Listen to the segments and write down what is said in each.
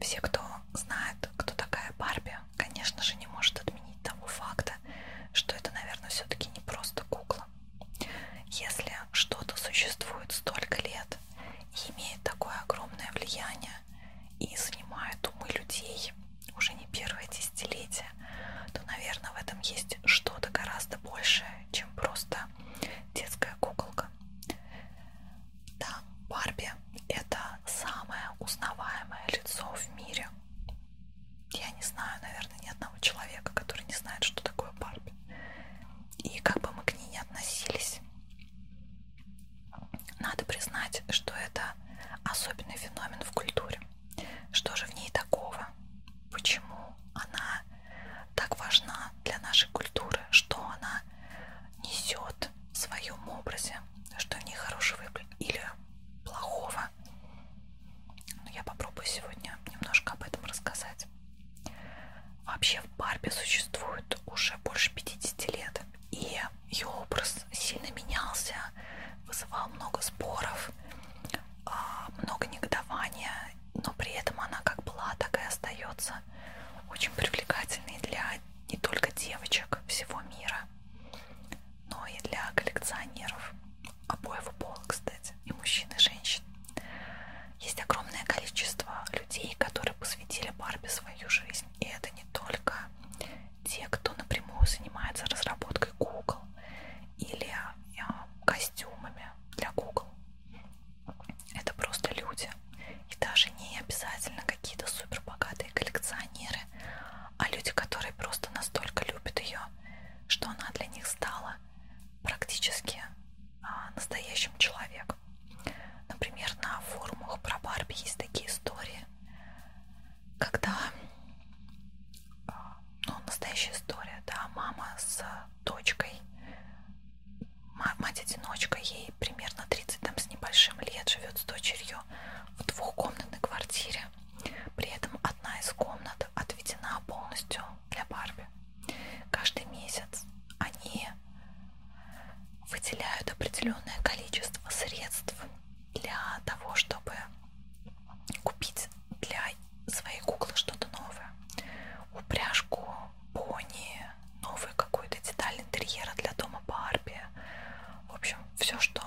Все, кто знает, кто такая Барби, конечно же, не может отменить того факта, что это, наверное, все-таки не просто кукла. Если что-то существует столько лет и имеет такое огромное влияние и занимает умы людей уже не первое десятилетие, то, наверное, в этом есть что-то гораздо большее, чем просто детская куколка девушка. Да, Барби это самое узнаваемое лицо в мире. Я не знаю, наверное, ни одного человека, который не знает, что такое Барби. И как бы мы к ней не относились, надо признать, что это особенный феномен в культуре. Что же в ней такого? Почему она так важна для нашей культуры, что она несет в своем образе, что в ней хорошего или плохого. Но я попробую сегодня немножко об этом рассказать. Вообще в Барби существует уже больше 50 лет, и ее образ сильно менялся, вызывал много споров, а, много негодования, но при этом она как была, так и остается кажется, очень привлекательный для не только девочек всего мира, но и для коллекционеров обоего пола, кстати, и мужчин, и женщин. Есть огромное количество людей, которые посвятили Барби свою жизнь. И это не только те, кто напрямую занимается разработкой Google или э, костюмами для Google. Это просто люди. И даже не обязательно какие-то супербогатые коллекционеры, а люди, которые просто настолько любят ее, что она для них стала практически а, настоящим человеком. Например, на форумах про Барби есть такие истории, когда а, ну, настоящая история, да, мама с дочкой мать-одиночка, ей примерно 30 там, с небольшим лет, живет с дочерью в двухкомнатной квартире. При этом одна из комнат отведена полностью для Барби. Каждый месяц они выделяют определенное количество средств для того, чтобы купить для своей куклы что-то новое. Упряжку, пони, новые какую-то деталь интерьера для дома Барби. В общем, все, что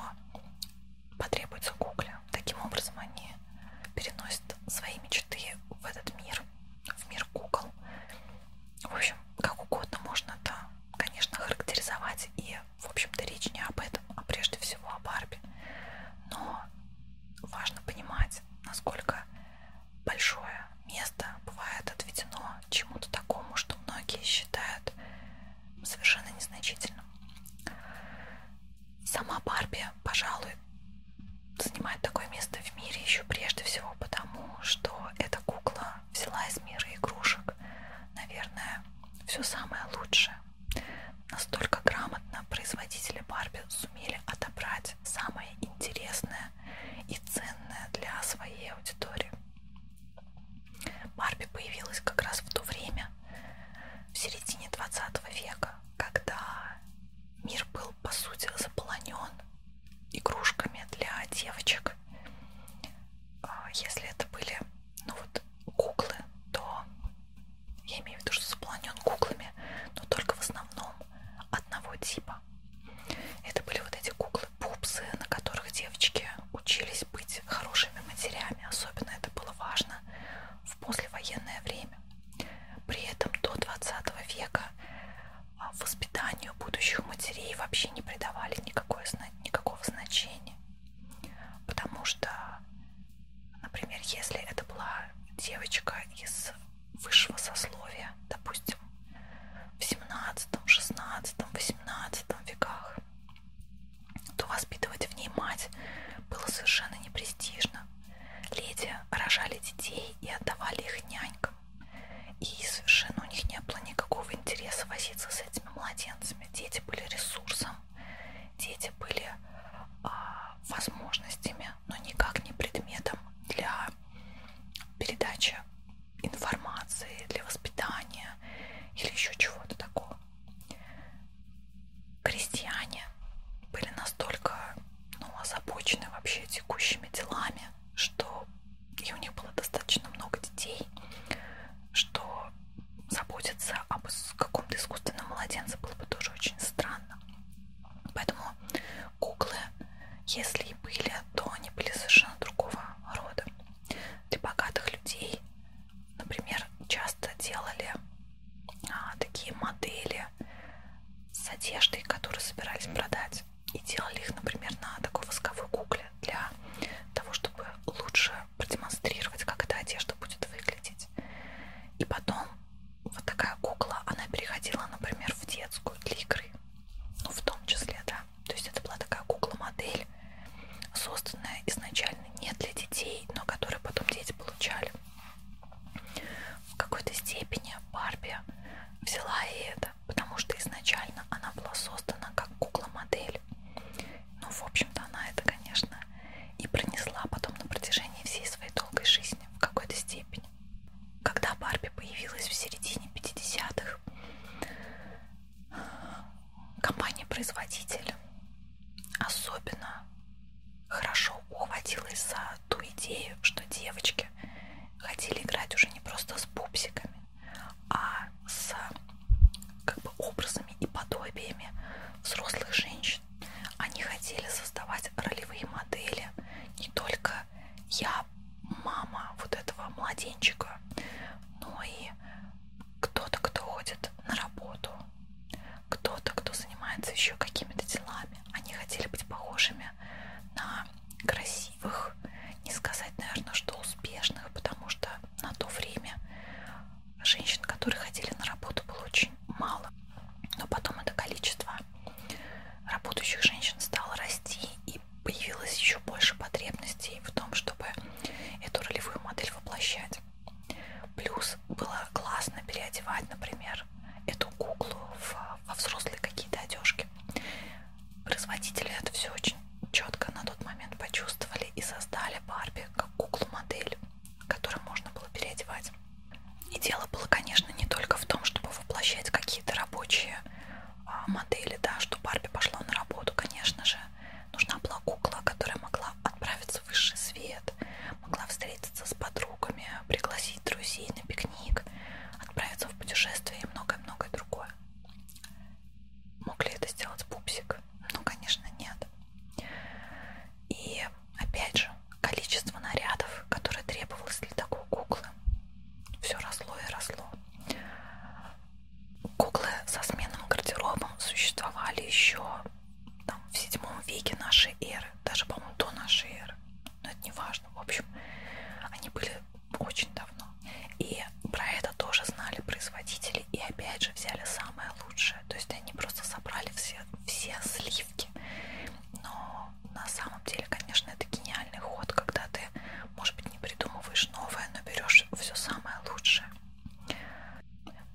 потребуется Гугле. Таким образом, они переносят свои мечты в этот мир, в мир Google. В общем, как угодно можно это, конечно, характеризовать. И, в общем-то, речь не об этом, а прежде всего о Барби. Но важно понимать, насколько большое место бывает отведено чему-то такому, что многие считают совершенно незначительным. Сама Барби, пожалуй, занимает такое место в мире еще прежде всего потому, что эта кукла взяла из мира игрушек, наверное, все самое лучшее. Настолько грамотно производители Барби сумели отобрать самое интересное и ценное для своей аудитории. Барби появилась как раз в то время, в середине 20 века, когда мир был, по сути, заполонен игрушками для девочек. А, если это были, ну вот, куклы, то я имею в виду, что заполонен куклами, но только в основном одного типа. Это были вот эти куклы-пупсы, на которых девочки учились быть хорошими матерями. Особенно это было важно в послевоенное время. При этом до 20 века а, воспитанию будущих матерей вообще не придавали никакое, никакого значения. Потому что, например, если это была девочка из высшего сословия, допустим, в 17, 16, 18 веках, то воспитывать в ней мать было совершенно непрестижно. Леди рожали детей и отдавали их нянькам. И совершенно у них не было никакого интереса возиться с этими младенцами. Дети были ресурсом, дети были а, возможностями предметами, но никак не предметом для передачи информации, для воспитания или еще чего-то такого. Крестьяне были настолько ну, озабочены вообще текущими делами, что и у них было достаточно много детей, что заботиться об каком-то искусственном младенце было бы тоже очень странно. Поэтому Куклы, если и были, то они были совершенно другого рода. Для богатых людей, например, часто делали а, такие модели с одеждой, которые собирались продать. И делали их, например, на такой восковой кукле для того, чтобы лучше продемонстрировать, как эта одежда будет выглядеть делать. И потом вот такая кукла, она переходила, например, в детскую для игры. Ну, в том числе, да. То есть это была такая кукла-модель, созданная изначально не для детей, но которую потом дети получали. В какой-то степени Барби взяла и это, потому что изначально она была создана как кукла-модель. Ну, в общем-то, она это, конечно, и пронесла потом на протяжении всей своей долгой жизни в какой-то степени когда Барби появилась в середине 50-х, компания-производитель особенно хорошо ухватилась за ту идею, что девочки хотели играть уже не просто с пупсиками, а с как бы образами и подобиями взрослых женщин женщин. Они хотели создавать ролевые модели не только я, мама вот этого младенчика, но и кто-то, кто ходит на работу, кто-то, кто занимается еще какими-то делами. Они хотели быть похожими на красивых, не сказать, наверное, что успешных, потому что на то время женщин, которые ходили на работу, было очень мало. Но потом это количество работающих женщин стало расти, и появилось еще больше потребностей в том, чтобы эту ролевую модель воплощать. Плюс было классно переодевать, например, эту куклу в, во взрослые какие-то одежки. Производители это все очень четко на тот момент почувствовали и создали Барби как куклу-модель которые можно было переодевать. И дело было, конечно, не только в том, чтобы воплощать какие-то рабочие а, модели, да, что Барби пошла на работу, конечно же, нужна была кукла, которая могла отправиться в высший свет, могла встретиться с подругами, пригласить друзей на пикник, отправиться в путешествие и многое-многое другое. Мог ли это сделать пупсик? Ну, конечно, нет. И Опять же, количество нарядов, которые требовалось для такой куклы, все росло и росло. Куклы со сменным гардеробом существовали еще там, в седьмом веке нашей эры, даже, по-моему, до нашей эры. Но это не важно. В общем, они были очень давно. И про это тоже знали производители. И опять же взяли самое лучшее. То есть они просто собрали все, все сливки наивки. Но на самом деле, конечно, это гениальный ход, когда ты, может быть, не придумываешь новое, но берешь все самое лучшее.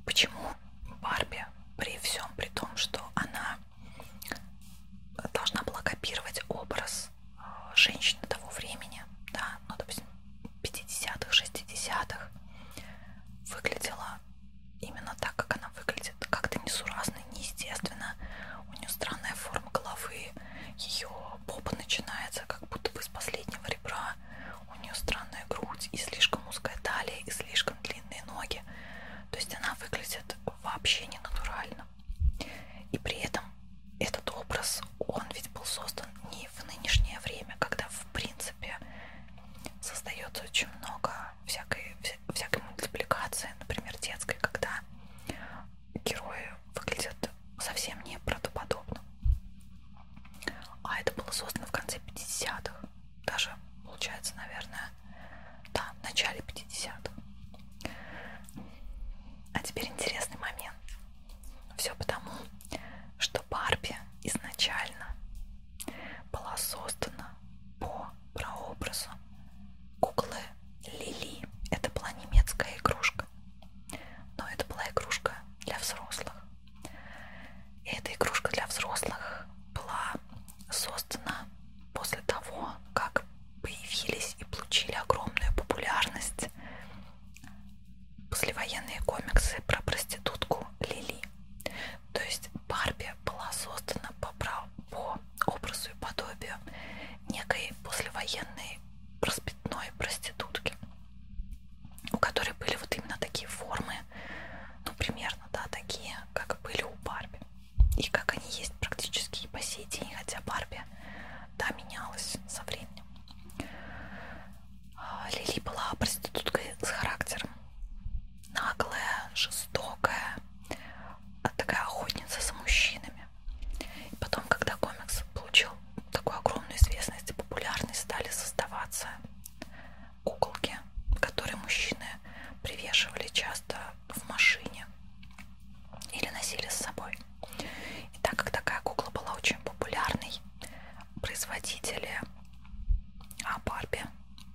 Почему Барби при всем, при том, что она должна была копировать образ э, женщины того времени, да, ну, допустим, 50-х, 60-х, выглядела она именно так, как она выглядит, как-то несуразно, неестественно. У нее странная форма головы, ее попа начинается как будто бы с последнего ребра. У нее странная грудь и слишком узкая талия и слишком длинные ноги. То есть она выглядит вообще не натурально. И при этом этот образ, он ведь был создан не в нынешнее время, когда в принципе создается очень много всякой, всякой мультипликации, например, детской, когда герои выглядят совсем не правдоподобно. А это было создано в конце 50-х, даже, получается, наверное, да, в начале 50-х. А теперь интересный момент. Все потому, что Барби изначально была создана по прообразу куклы Лили. Это была немецкая игрушка, но это была игрушка для взрослых. И эта игрушка для взрослых была создана после того, как появились и получили огромную популярность послевоенные комиксы про проститутку Лили. То есть Барби была создана по, прав... по образу и подобию некой послевоенной распитной проститутки, у которой были вот именно такие формы, ну примерно, да, такие, как были у Барби. И как они есть практически и по сей день, хотя Барби, да, менялась со временем. А, Лили была проституткой с характером наглая, жестокая, а такая охотница за мужчинами. И потом, когда комикс получил такую огромную известность и популярность, стали создаваться куколки, которые мужчины привешивали часто в машине или носили с собой. И так как такая кукла была очень популярной, производители а Барби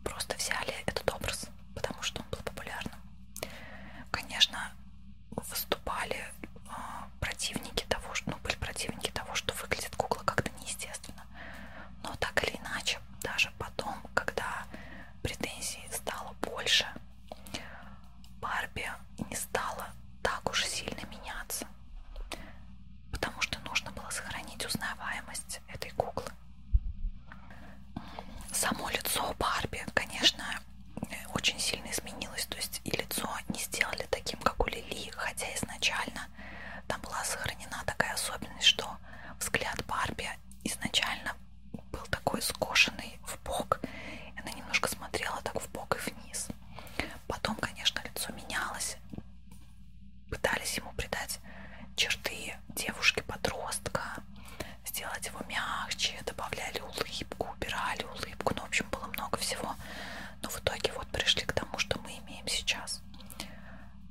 просто взяли этот образ, потому что он был популярным. Конечно, выступали а, противники того, что ну, были противники того, что выглядит кукла как-то неестественно. Но так или иначе, даже потом, когда претензий стало больше, Барби не стала так уж сильно меняться, потому что нужно было сохранить узнаваемость внешность этой куклы. Само лицо Барби, конечно, очень сильно изменилось. То есть и лицо не сделали таким, как у Лили, хотя изначально там была сохранена такая особенность, что взгляд Барби изначально был такой скошенный в бок. Она немножко смотрела так в бок и вниз. Потом, конечно, лицо менялось, пытались ему придать черты девушки-подростка, сделать его мягче, добавляли улыбку, убирали улыбку, ну, в общем, было много всего. Но в итоге вот пришли к тому, что мы имеем сейчас.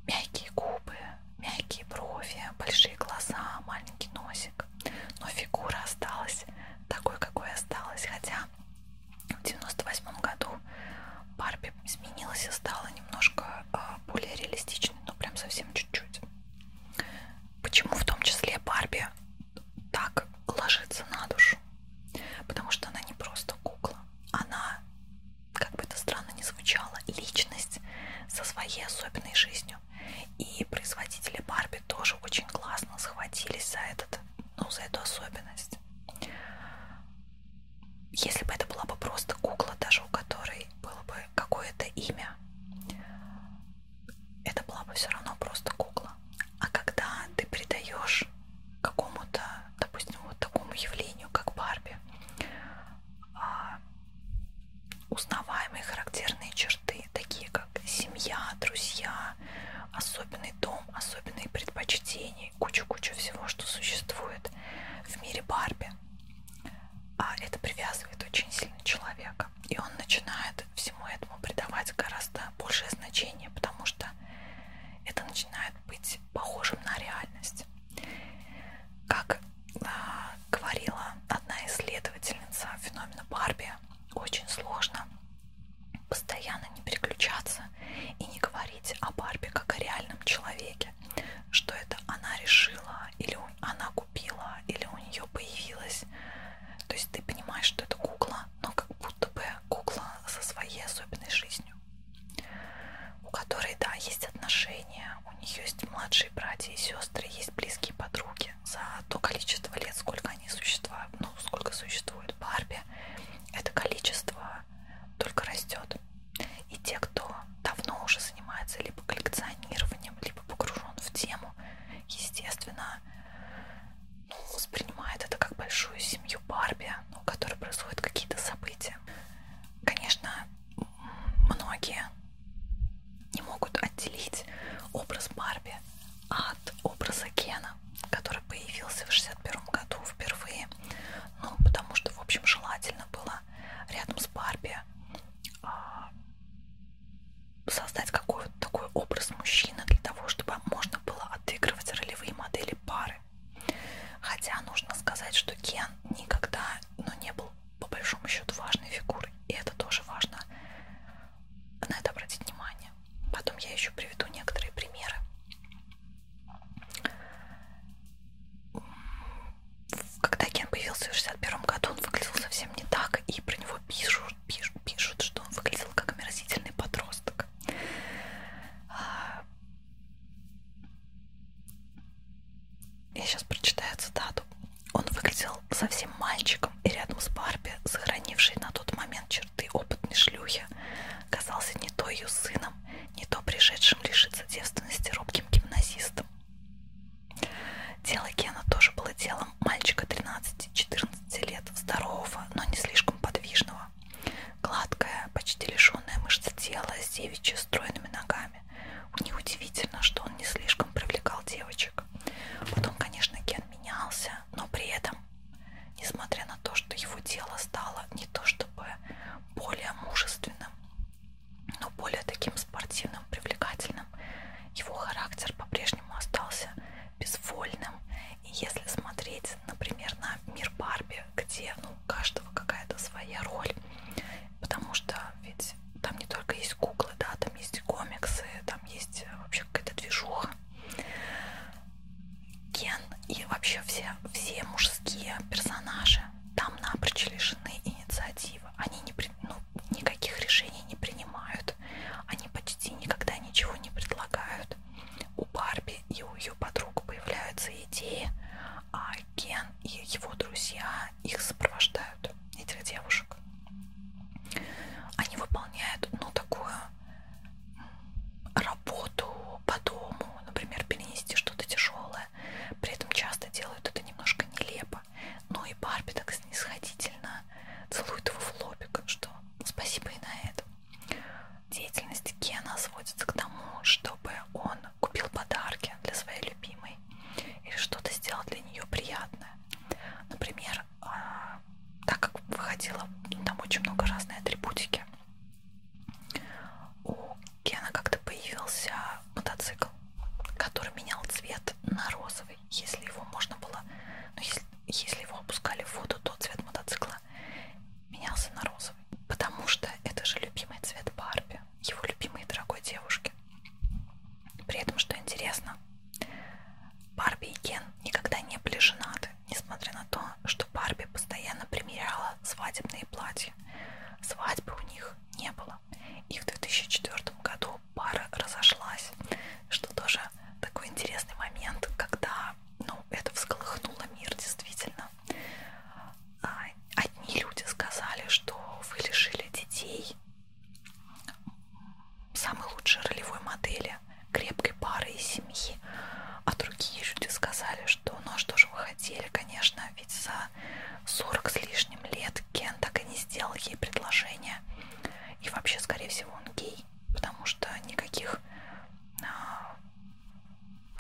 Мягкие губы, мягкие брови, большие глаза, маленький носик. Но фигура осталась такой, какой осталась. Хотя в 98 году Барби принципе, изменилась и стала немножко а, более реалистичной, но ну, прям совсем чуть-чуть. Почему в том числе Барби так ложится на душу? Потому что она не просто кукла, она, как бы это странно ни звучало, личность со своей особенной жизнью. И производители Барби тоже очень классно схватились за этот, ну, за эту особенность если бы это была бы просто кукла, даже у которой было бы какое-то имя, это была бы все равно просто кукла. А когда ты придаешь какому-то, допустим, вот такому явлению, как Барби, а, узнаваемые характерные черты, такие как семья, друзья, особенный дом, особенные предпочтения, кучу-кучу всего, что существует в мире Барби, а это привязывает очень сильно человека. И он начинает всему этому придавать гораздо большее значение, потому что это начинает быть похожим на реальность. Как а, говорила одна исследовательница феномена Барби, очень сложно постоянно не переключаться и не говорить о Барби как о реальном человеке девушки, что это она решила, или она купила, или у нее появилась. То есть ты понимаешь, что это кукла, но как будто бы кукла со своей особенной жизнью, у которой, да, есть отношения, у нее есть младшие братья и сестры, есть близкие подруги за то количество лет, сколько они существуют, ну, сколько существует Барби, это количество только растет. И те, кто давно уже занимается либо коллекционированием, либо погружен в тему, естественно, ну, воспринимает это как большую семью Барби, у которой происходят какие-то события. Конечно, многие не могут отделить образ Барби от образа Кена, который появился в 61 году впервые, ну, потому что, в общем, желательно было можно рядом с Барби а, создать какой-то такой образ мужчины для того, чтобы можно было отыгрывать ролевые модели пары. Хотя нужно сказать, что Кен никогда, но ну, не был по большому счету важной фигурой, и это тоже важно на это обратить внимание. Потом я еще приведу некоторые примеры когда Кен появился в 61 году, он выглядел совсем не так, и про него пишут, пишут, пишут что он выглядел как омерзительный подросток. Я сейчас прочитаю цитату. Он выглядел совсем мальчиком, и рядом с Барби, сохранившей на тот момент черты опытной шлюхи, казался не то ее сыном, не то пришедшим лишиться девственности робким гимназистом. Дело Гена тоже было делом мальчика 13-14 лет, здорового, но не слишком подвижного. Гладкое, почти лишенное мышц тела с девичьи стройными ногами. Неудивительно, что он не слишком привлекал девочек. Потом, конечно, Ген менялся, но при этом, несмотря на то, что его тело стало не то чтобы более мужественным, но более таким спортивным, привлекательным. Его характер по-прежнему остался безвольным. И если смотреть, например, на мир Барби, где ну, у каждого какая-то своя роль, потому что ведь там не только есть куклы, да, там есть комиксы, там есть э, вообще какая-то движуха. Кен и вообще все, все мужские персонажи там напрочь лишены инициативы. Они не, ну, никаких решений не принимают. Они почти никогда ничего не предлагают. У Барби и у ее подруг появляются идеи, а Кен и его друзья их сопровождают, этих девушек. Они выполняют, ну, такую работу по дому, например, перенести что-то тяжелое милая. При этом часто делают это немножко нелепо. Но и Барби так снисходительно целует его в лобик, что спасибо и на этом. Деятельность Кена сводится к тому, чтобы он купил подарки для своей любимой или что-то сделал для нее приятное. Например, а, так как выходило ну, там очень много разной атрибутики, у Кена как-то появился мотоцикл, который менял цвет на розовый, если его можно было, ну если, если его опускали в воду, то цвет мотоцикла менялся на розовый, потому что это же любимый цвет Барби, его любимой дорогой девушки. При этом, что интересно, Барби и Кен никогда не были женаты, несмотря на то, что Барби постоянно примеряла свадебные платья. Свадьбы у них не было. И в 2004 году пара разошлась, что тоже такой интересный момент, когда ну, это всколыхнуло мир действительно. А, одни люди сказали, что вы лишили детей самой лучшей ролевой модели, крепкой пары и семьи, а другие люди сказали, что ну а что же вы хотели, конечно, ведь за 40 с лишним лет Кен так и не сделал ей предложение. И вообще, скорее всего, он гей, потому что никаких, а,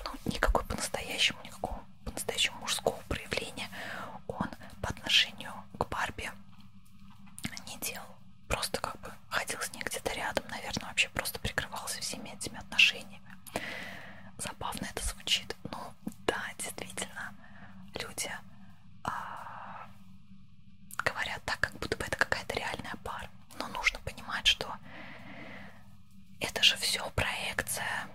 ну, никакой по-настоящему, никакого по-настоящему мужского проявления он по отношению к Барби не делал. Просто как бы ходил с ней где-то рядом, наверное, вообще просто прикрывался всеми этими отношениями отношениями. Забавно это звучит, но да, действительно, люди а, говорят так, как будто бы это какая-то реальная пара. Но нужно понимать, что это же все проекция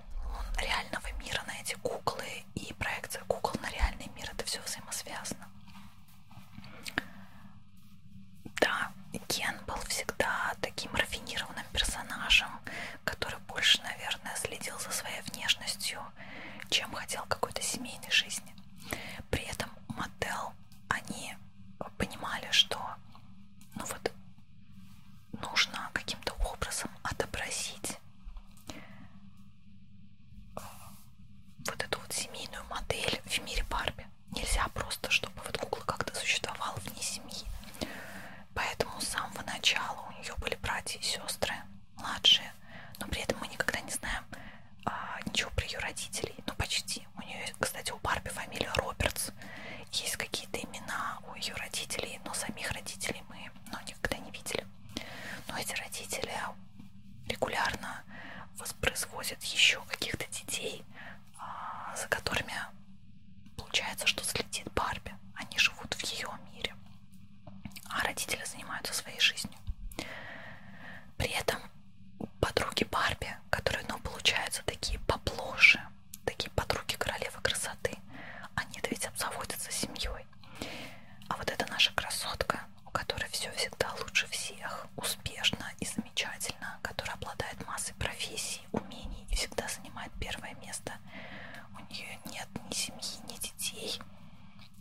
реального мира на эти куклы и проекция кукол на реальный мир. Это все взаимосвязано. Да, Ген был всегда таким рафинированным персонажем, который больше, наверное, следил за своей внешностью, чем хотел какой-то семейной жизни. При этом Мотел, они понимали, что ну вот, нужно каким-то образом отобразить э, вот эту вот семейную модель в мире Барби нельзя просто, чтобы вот кукла как-то существовала вне семьи. Поэтому с самого начала у нее были братья и сестры младшие, но при этом мы никогда не знаем а, ничего про ее родителей, ну почти. У нее, кстати, у Барби фамилия Робертс. Есть какие-то имена у ее родителей, но самих родителей мы ну, никогда не видели. Но эти родители регулярно воспроизводят еще каких-то детей, а, за которыми получается, что следит Барби. Они живут в ее мире, а родители занимаются своей жизнью. При этом подруги Барби, которые, ну, получаются такие поплоше, такие подруги королевы красоты, они-то ведь обзаводятся семьей. А вот эта наша красотка, у которой все всегда лучше всех, успешно и замечательно, которая обладает массой профессий, профессий, умений и всегда занимает первое место. У нее нет ни семьи, ни детей.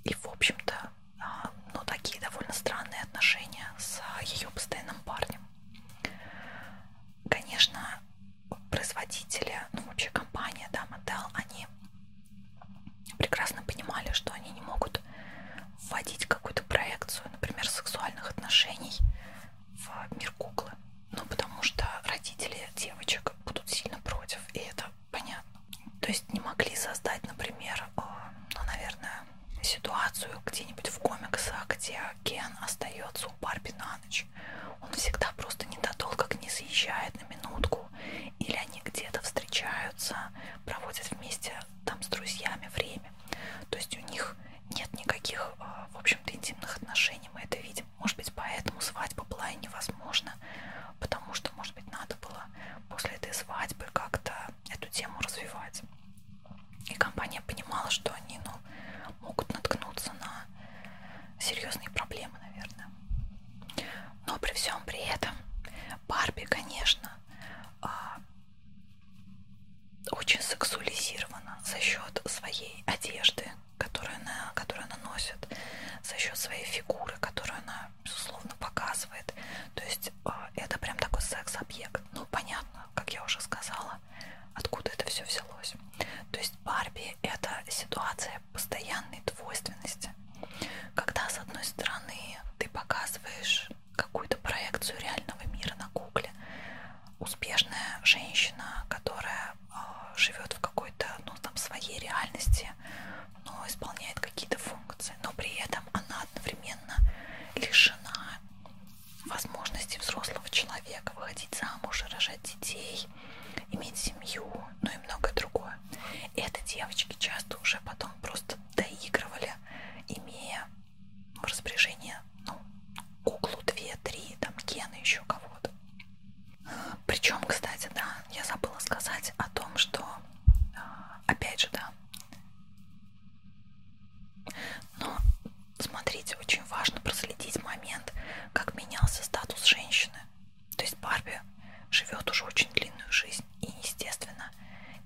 И, в общем-то, а, ну, такие довольно странные отношения с ее постоянным парнем. Конечно, производители, ну, вообще компания, да, Mattel, они прекрасно понимали, что они не могут вводить какую-то проекцию, например, сексуальных отношений в мир куклы. Ну, потому что родители девочек будут сильно против, и это понятно. То есть не могли создать, например, э, ну, наверное, ситуацию где-нибудь в комиксах, где Кен остается у Барби на ночь. Он всегда просто недолго к ней заезжает на минутку. Или они где-то встречаются, проводят вместе там с друзьями время женщинами. То есть у них нет никаких, а, в общем-то, интимных отношений, мы это видим. Может быть, поэтому свадьба была и невозможна, потому что, может быть, надо было после этой свадьбы как-то эту тему развивать. И компания понимала, что они ну, могут наткнуться на серьезные проблемы, наверное. Но при всем при этом Барби, конечно, а, очень сексуализирована за счет своей одежды, которую она, которую она носит, за счет своей фигуры, которую она, безусловно, показывает. То есть а, это прям такой секс-объект. Ну, понятно, как я уже сказала, откуда это все взялось. То есть Барби — это ситуация постоянной двойственности, когда, с одной стороны, ты показываешь какую-то проекцию реального мира на гугле. Успешная женщина, которая э, а, живет в какой-то, ну, там, своей реальности, но исполняет какие-то функции, но при этом она одновременно лишена возможности взрослого человека выходить замуж, рожать детей, иметь семью, ну и многое другое. И это девочки часто уже потом просто доигрывали, имея в ну, распоряжение ну, куклу 2-3, там Кена еще кого-то. Причем, кстати, да, я забыла сказать о том, что а, опять же, да. Но смотрите, очень важно проследить момент, как менялся статус женщины. То есть Барби живет уже очень длинную жизнь, и, естественно,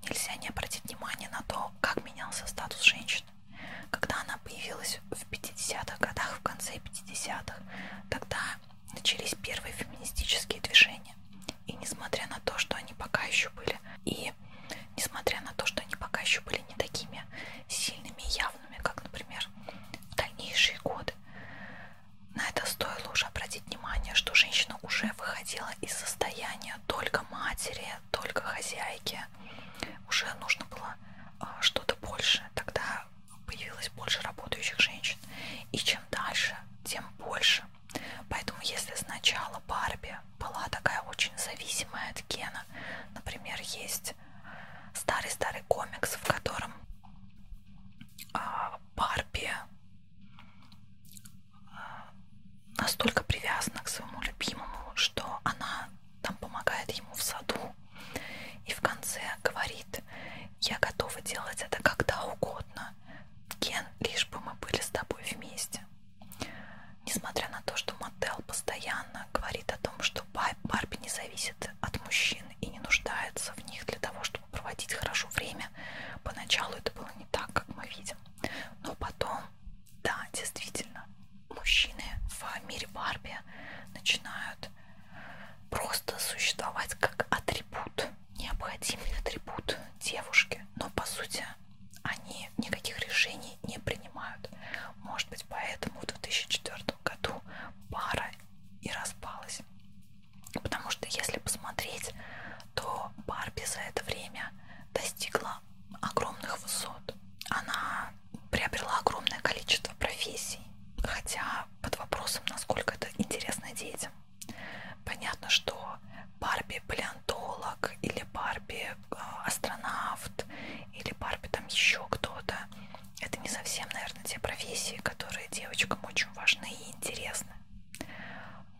нельзя не обратить внимания на то, как менялся статус женщины. Когда она появилась в 50-х годах, в конце 50-х, тогда начались первые феминистические движения. И несмотря на то, что они пока еще были, и несмотря на то, что они пока еще были не такими сильными и явными, как, например, в дальнейшие годы, на это стоило уже обратить внимание, что женщина уже выходила из состояния только матери, только хозяйки, мне уже нужно было а, что-то больше. Тогда появилось больше работающих женщин. И чем дальше, тем больше. Поэтому если сначала Барби была такая очень зависимая от Кена, например, есть старый-старый комикс, в котором а, Барби настолько привязана к своему любимому, что она там помогает ему в саду и в конце говорит, я готова делать это когда угодно, Кен, лишь бы мы были с тобой вместе. Несмотря на то, что Мотел постоянно говорит о том, что Барби не зависит от мужчин и не нуждается в них для того, чтобы проводить хорошо время, поначалу это было не так, как мы видим. Но потом да, действительно, мужчины в мире Барби начинают просто существовать как атрибут, необходимый атрибут девушки, но по сути они никаких решений не принимают. Может быть, поэтому в 2004 году пара и распалась. Потому что если посмотреть, то Барби за это время достигла огромных высот. Она приобрела огромное количество профессий, хотя под вопросом, насколько это интересно детям. Понятно, что Барби палеонтолог или Барби а, астронавт или Барби там еще кто-то. Это не совсем, наверное, те профессии, которые девочкам очень важны и интересны.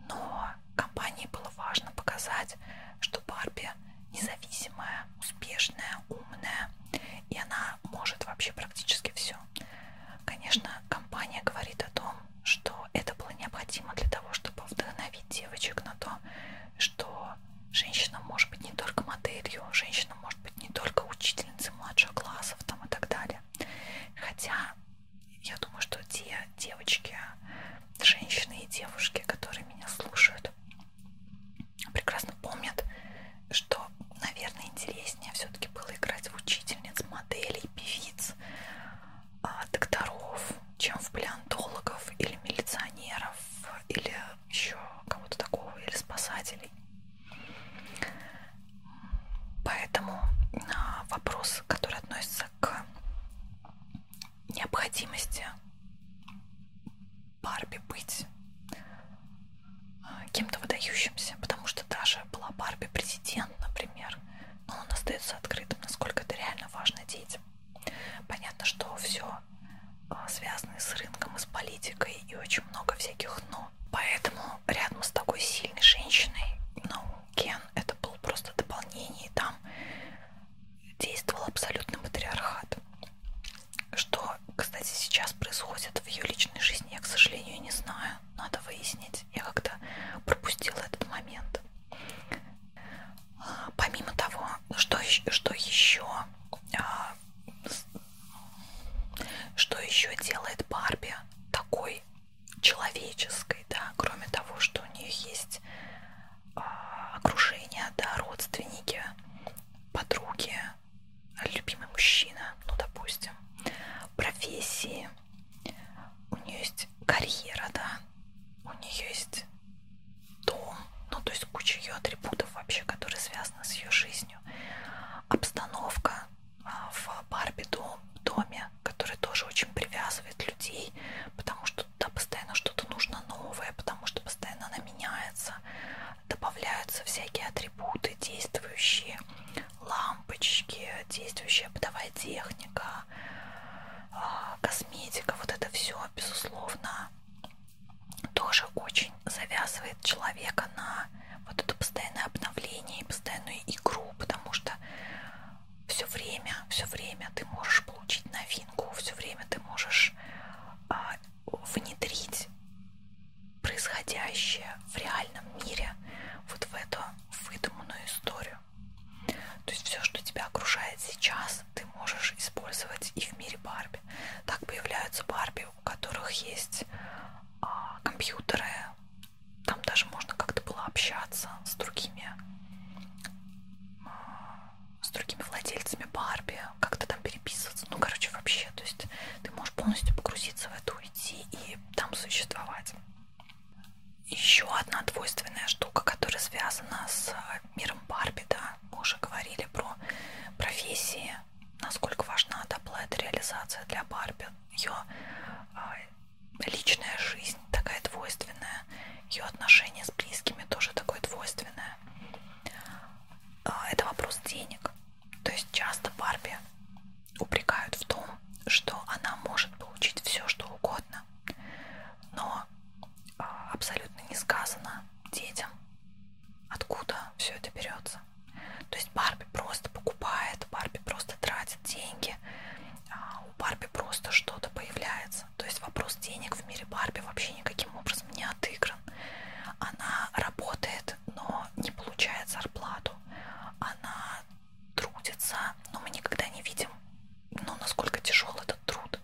Но компании было важно показать, что Барби независимая, успешная, умная, и она может вообще практически все. Конечно, компания говорит о том, что это было необходимо для того, чтобы вдохновить девочек на то, что женщина может быть не только моделью, женщина может быть не только учительницей младших классов там, и так далее. Хотя, я думаю, что те девочки, женщины и девушки, которые меня слушают, прекрасно помнят, что, наверное, интереснее все-таки было играть в учительниц, моделей, певиц, а, докторов, чем в палеонтологов или милиционеров, или еще кого-то такого, или спасателей. Поэтому а, вопрос, который относится к необходимости Барби быть а, кем-то выдающимся, потому что даже была Барби президент, например, но он остается открытым, насколько это реально важно детям. Понятно, что все а, связано с рынком и с политикой, и очень много всяких «но». Поэтому рядом с такой сильной женщиной, ну, Кен, это был просто дополнение, и там действовал абсолютно матриархат. Что, кстати, сейчас происходит в ее личной жизни, я, к сожалению, не знаю. Надо выяснить. Я как-то пропустила этот момент. А, помимо того, что, что еще а, что еще делает Барби такой человеческой, да, кроме того, что у нее есть окружение, да, родственники, подруги, любимый мужчина, ну, допустим, профессии, у нее есть карьера, да, у нее есть дом, ну, то есть куча ее атрибутов вообще, которые связаны с ее жизнью, обстановка а, в Барби дом, доме, который тоже очень привязывает людей, потому что что туда постоянно что-то нужно новое, потому что постоянно она меняется, добавляются всякие атрибуты, действующие лампочки, действующая бытовая техника, а, косметика, вот это все, безусловно, тоже очень завязывает человека на вот это постоянное обновление и постоянную игру, потому что все время, все время ты можешь получить новинку, все время ты можешь а, внедрить происходящее в реальном мире вот в эту выдуманную историю. То есть все, что тебя окружает сейчас, ты можешь использовать и в мире Барби. Так появляются Барби, у которых есть а, компьютеры, там даже можно как-то было общаться с другими с другими владельцами Барби, как-то там переписываться. Ну, короче, вообще, то есть ты можешь полностью погрузиться в это, уйти и там существовать. Еще одна двойственная штука, которая связана с э, миром Барби, да, мы уже говорили про профессии, насколько важна доплата реализация для Барби, ее личная жизнь такая двойственная, ее отношения с близкими тоже такое двойственное. А, это вопрос денег. То есть часто Барби упрекают в том, что она может получить все, что угодно, но а, абсолютно не сказано детям, откуда все это берется. То есть Барби просто покупает, Барби просто тратит деньги, а, у Барби просто что-то появляется бизнеса. То есть вопрос денег в мире Барби вообще никаким образом не отыгран. Она работает, но не получает зарплату. Она трудится, но мы никогда не видим, ну, насколько тяжел этот труд.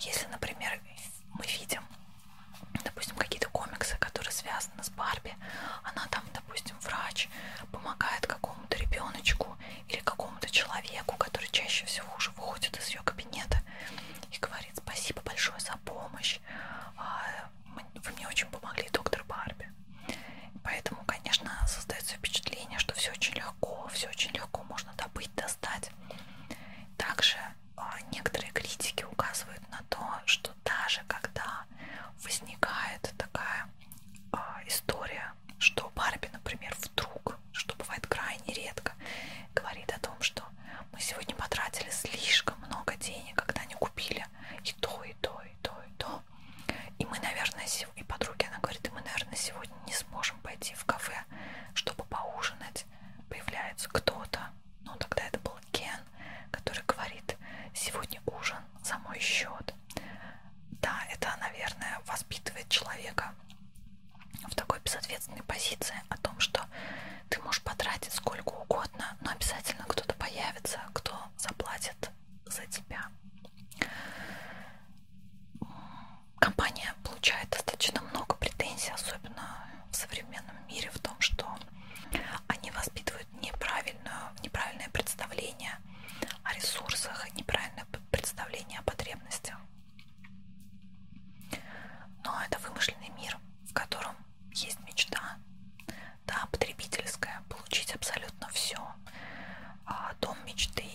Если, например, мы видим, допустим, какие-то комиксы, которые связаны с Барби, она там, допустим, врач, помогает какому-то ребеночку, Андрею или какому-то человеку, который чаще всего уже выходит из ее кабинета и говорит спасибо большое за помощь, а, вы мне очень помогли, доктор Барби. Поэтому, конечно, создается впечатление, что все очень легко, все очень легко можно добыть, достать. Также а, некоторые критики указывают на то, что даже когда возникает такая а, история что Барби, например, вдруг, что бывает крайне редко, говорит о том, что мы сегодня потратили слишком много денег, когда не купили и то, и то, и то, и то. И мы, наверное, сегодня, и подруге она говорит, и мы, наверное, сегодня не сможем пойти в кафе, чтобы поужинать. Появляется кто-то, ну тогда это был Кен, который говорит, сегодня ужин за мой счет. Да, это, наверное, воспитывает человека в такой безответственной позиции о том, что ты можешь потратить сколько угодно, но обязательно кто-то появится, кто заплатит за тебя. Компания получает достаточно много претензий, особенно в современном мире, в том, что они воспитывают неправильное представление о ресурсах, неправильное представление о потребностях. Но это вымышленный мир, в котором есть мечта, да, потребительская, получить абсолютно все. А, дом мечты,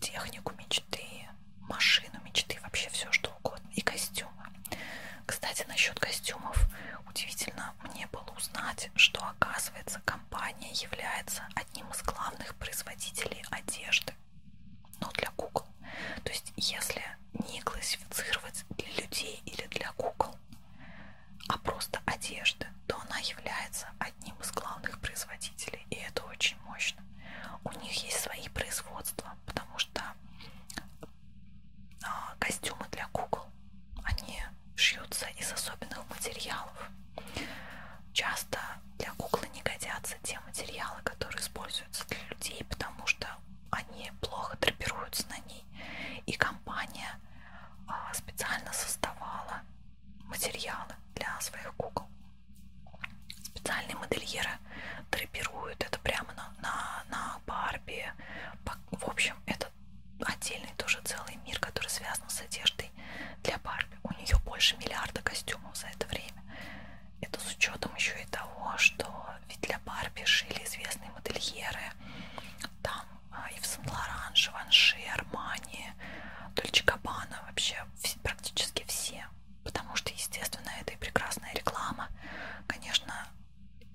технику мечты, машину мечты, вообще все что угодно. И костюмы. Кстати, насчет костюмов удивительно мне было узнать, узнать, что, оказывается, компания является одним из главных производителей одежды, но ну, для кукол. То есть, если не классифицировать для людей или для кукол, а просто одежды, то она является одним из главных производителей, и это очень мощно. У них есть свои производства, потому что а, костюмы для кукол, они шьются из особенных материалов. Часто для куклы не годятся те материалы, которые используются для людей, потому что они плохо драпируются на ней. И компания а, специально создавала материалы для своих кукол. Специальные модельеры драпируют это прямо на, на, на Барби. В общем, это отдельный тоже целый мир, который связан с одеждой одеждой для Барби. У нее больше миллиарда костюмов за это время. Это с учетом еще и того, что ведь для Барби шили известные модельеры. Там а, Ив Сен-Лоран, Живанши, Армани, Дольче Габбана, вообще практически все. Потому что, естественно, это и прекрасная реклама. Конечно,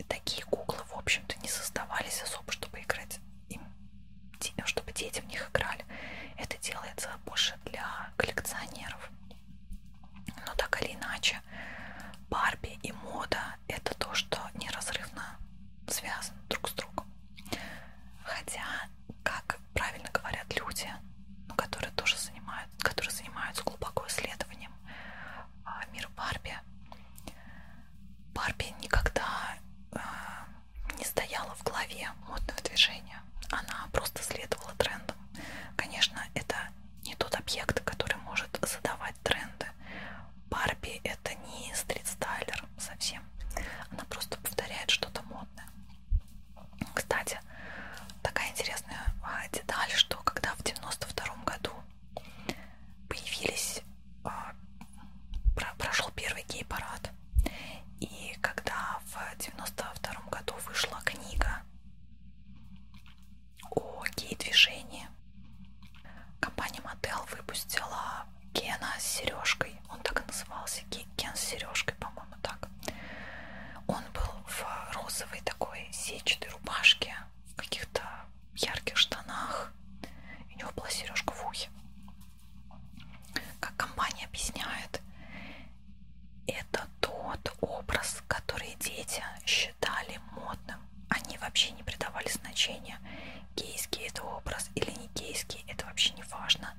такие куклы, в общем-то, не создавались особо, чтобы играть им, чтобы дети в них играли. Это делается больше для коллекционеров. Но так или иначе, Барби и мода это то, что неразрывно связано друг с другом. Хотя, как правильно говорят люди, ну, которые тоже занимают, которые занимаются глубоко исследованием а, мира Барби, Барби никогда э, не стояла в главе модного движения. Она просто следовала трендам. Конечно, это не тот объект, который может задавать тренды. Барби это не стрит-стайлер совсем. Она просто повторяет что-то модное. Кстати, такая интересная а, деталь, что когда в 92 году появились, а, прошел первый гей-парад, и когда в 92 году вышла книга о гей-движении, компания Мотел выпустила Кена с сережкой. Он так и назывался Кен с сережкой, по-моему, так. Он был в розовой такой сетчатой рубашке, в каких-то ярких штанах. И у него была сережка в ухе как компания объясняет, это тот образ, который дети считали модным. Они вообще не придавали значения, гейский это образ или не гейский, это вообще не важно.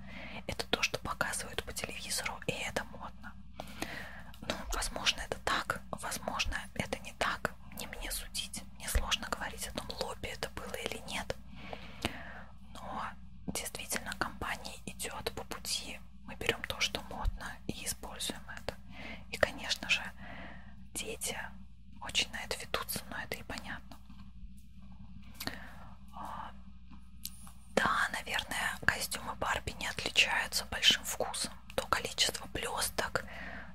Это то, что показывают по телевизору, и это модно. Ну, возможно, это так, возможно, это не так, не мне судить есть. Мне сложно говорить о том, лобби это было или нет. Но действительно компания идет по пути. Мы берем то, что модно, и используем это. И, конечно же, дети очень на это ведутся, но это и понятно. А, да, наверное, костюмы Барби не отличаются большим вкусом. То количество блесток,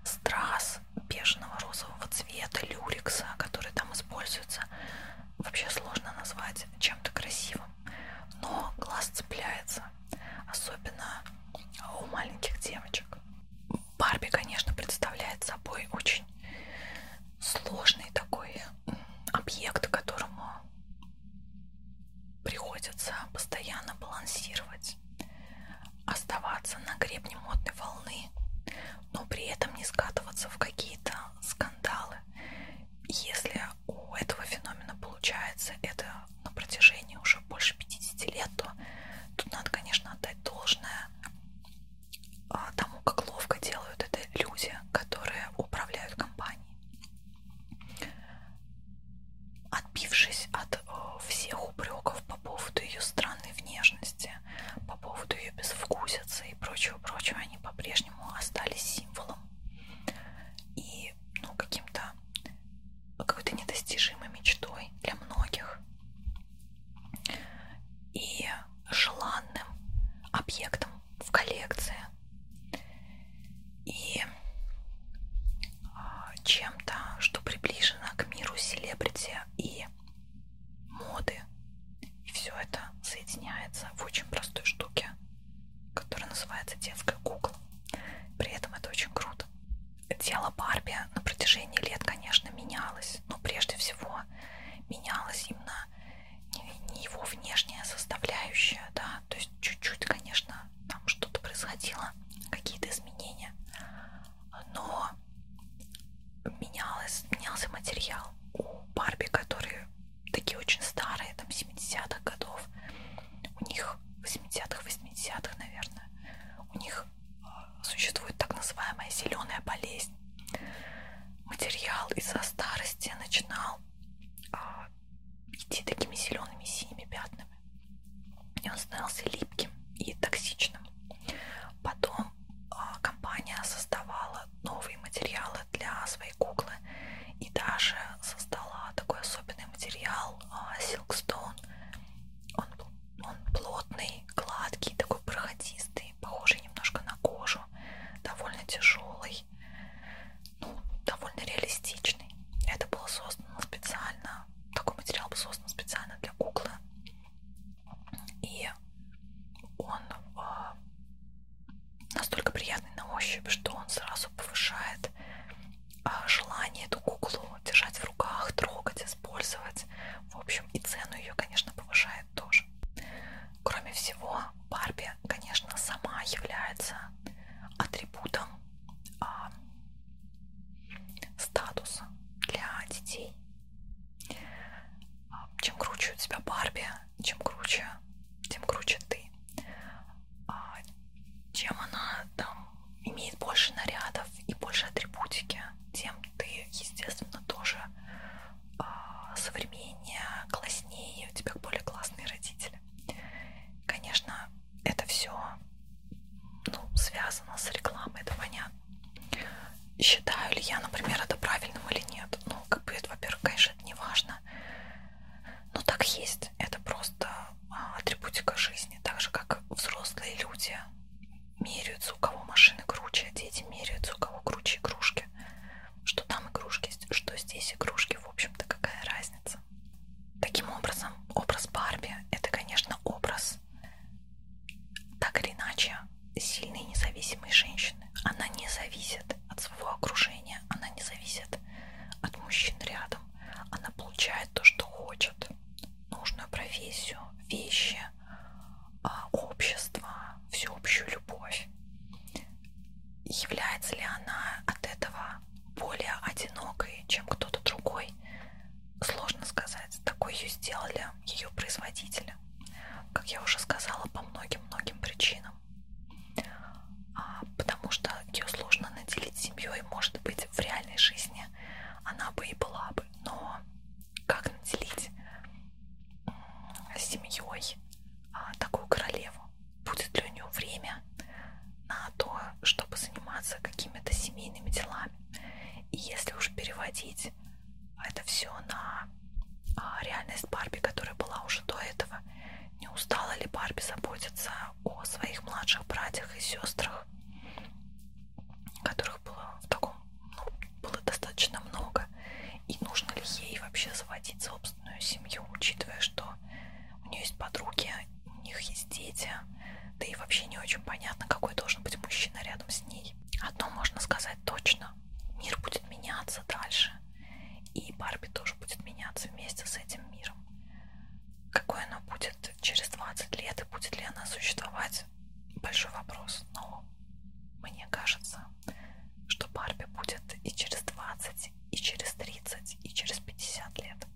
страз, из бежного розового цвета, люрикса, который там используется, вообще сложно назвать чем-то красивым. Но глаз цепляется, особенно у маленьких девочек. Барби, конечно, представляет собой очень сложный такой объект, которому приходится постоянно балансировать, оставаться на гребне модной волны, но при этом не скатываться в какие-то скандалы. Если у этого феномена получается это на протяжении уже больше 50 лет, то тут надо, конечно, отдать должное а, тому, как ловко делают это люди, которые управляют компанией. Отбившись от э, всех упреков по поводу ее странной внешности, сущности, по поводу ее безвкусицы и прочего-прочего, они по-прежнему остались символом и ну, каким-то какой-то недостижимой мечтой для многих и желанным объектом в коллекции и а, чем-то, что приближено к миру селебрити и моды. И все это соединяется в очень простой штуке, которая называется детская кукла. При этом это очень круто. Тело Барби на протяжении лет, конечно, менялось, но прежде всего менялось именно не его внешняя составляющая, да, то есть чуть-чуть, конечно, там что-то происходило, какие-то изменения, но менялось, менялся материал. У Барби, которые такие очень старые, там 70-х годов, у них 80-х, 80-х, наверное, у них а, существует так называемая зеленая болезнь. Материал из-за старости начинал а, идти такими зелеными синими пятнами. И он становился липким и токсичным. Потом Э, компания создавала новые материалы для своей куклы и даже создала такой особенный материал а, Silkstone. Он, он плотный, гладкий, такой проходистый, похожий немножко на кожу, довольно тяжелый, ну, довольно реалистичный. Это было создано специально, такой материал был создан специально для куклы. И он а, настолько приятный на ощупь, что он сразу повышает а, желание эту куклу держать в руках, трогать, использовать. В общем, и цену ее, конечно, повышает тоже. Кроме всего, Барби, конечно, сама является атрибутом а, статуса для детей. Чем круче у тебя Барби, чем круче, тем круче ты. А, чем она там имеет больше нарядов и больше атрибутики, тем ты, естественно, тоже а, современнее, класснее, у тебя более классные родители. Конечно, это все ну, связано с рекламой, это понятно считаю ли я, например, это правильным или нет. Ну, как бы, во-первых, конечно, это не важно. Но так есть. Это просто а, атрибутика жизни. Так же, как взрослые люди меряются, у кого машины круче, а дети меряются, у кого круче игрушки. Что там игрушки, что здесь игрушки. В общем-то, какая разница. Таким образом, образ Барби – это, конечно, образ так или иначе сильные независимые женщины. Она не зависит от своего окружения, она не зависит от мужчин рядом. Она получает то, что хочет. Нужную профессию, вещи, а, общество, всеобщую любовь. Является ли она от этого более одинокой, чем кто-то другой? Сложно сказать, такой ее сделали ее производители, как я уже сказала, по многим-многим причинам. А, потому что ее сложно наделить семьей, может быть, в реальной жизни она бы и была бы, но как наделить семьей а, такую королеву? Будет ли у нее время на то, чтобы заниматься какими-то семейными делами? И если уж переводить это все на а, реальность Барби, которая была уже до этого. Не устала ли Барби заботиться о своих младших братьях и сестрах, которых было в таком, ну, было достаточно много, и нужно ли ей вообще заводить собственную семью, учитывая, что у нее есть подруги, у них есть дети, да и вообще не очень понятно, какой должен быть мужчина рядом с ней. Одно а можно сказать точно. Мир будет меняться дальше. И Барби тоже будет меняться вместе с этим миром. Какое оно будет через 20 лет и будет ли она существовать, большой вопрос. Но мне кажется, что Барби будет и через 20, и через 30, и через 50 лет.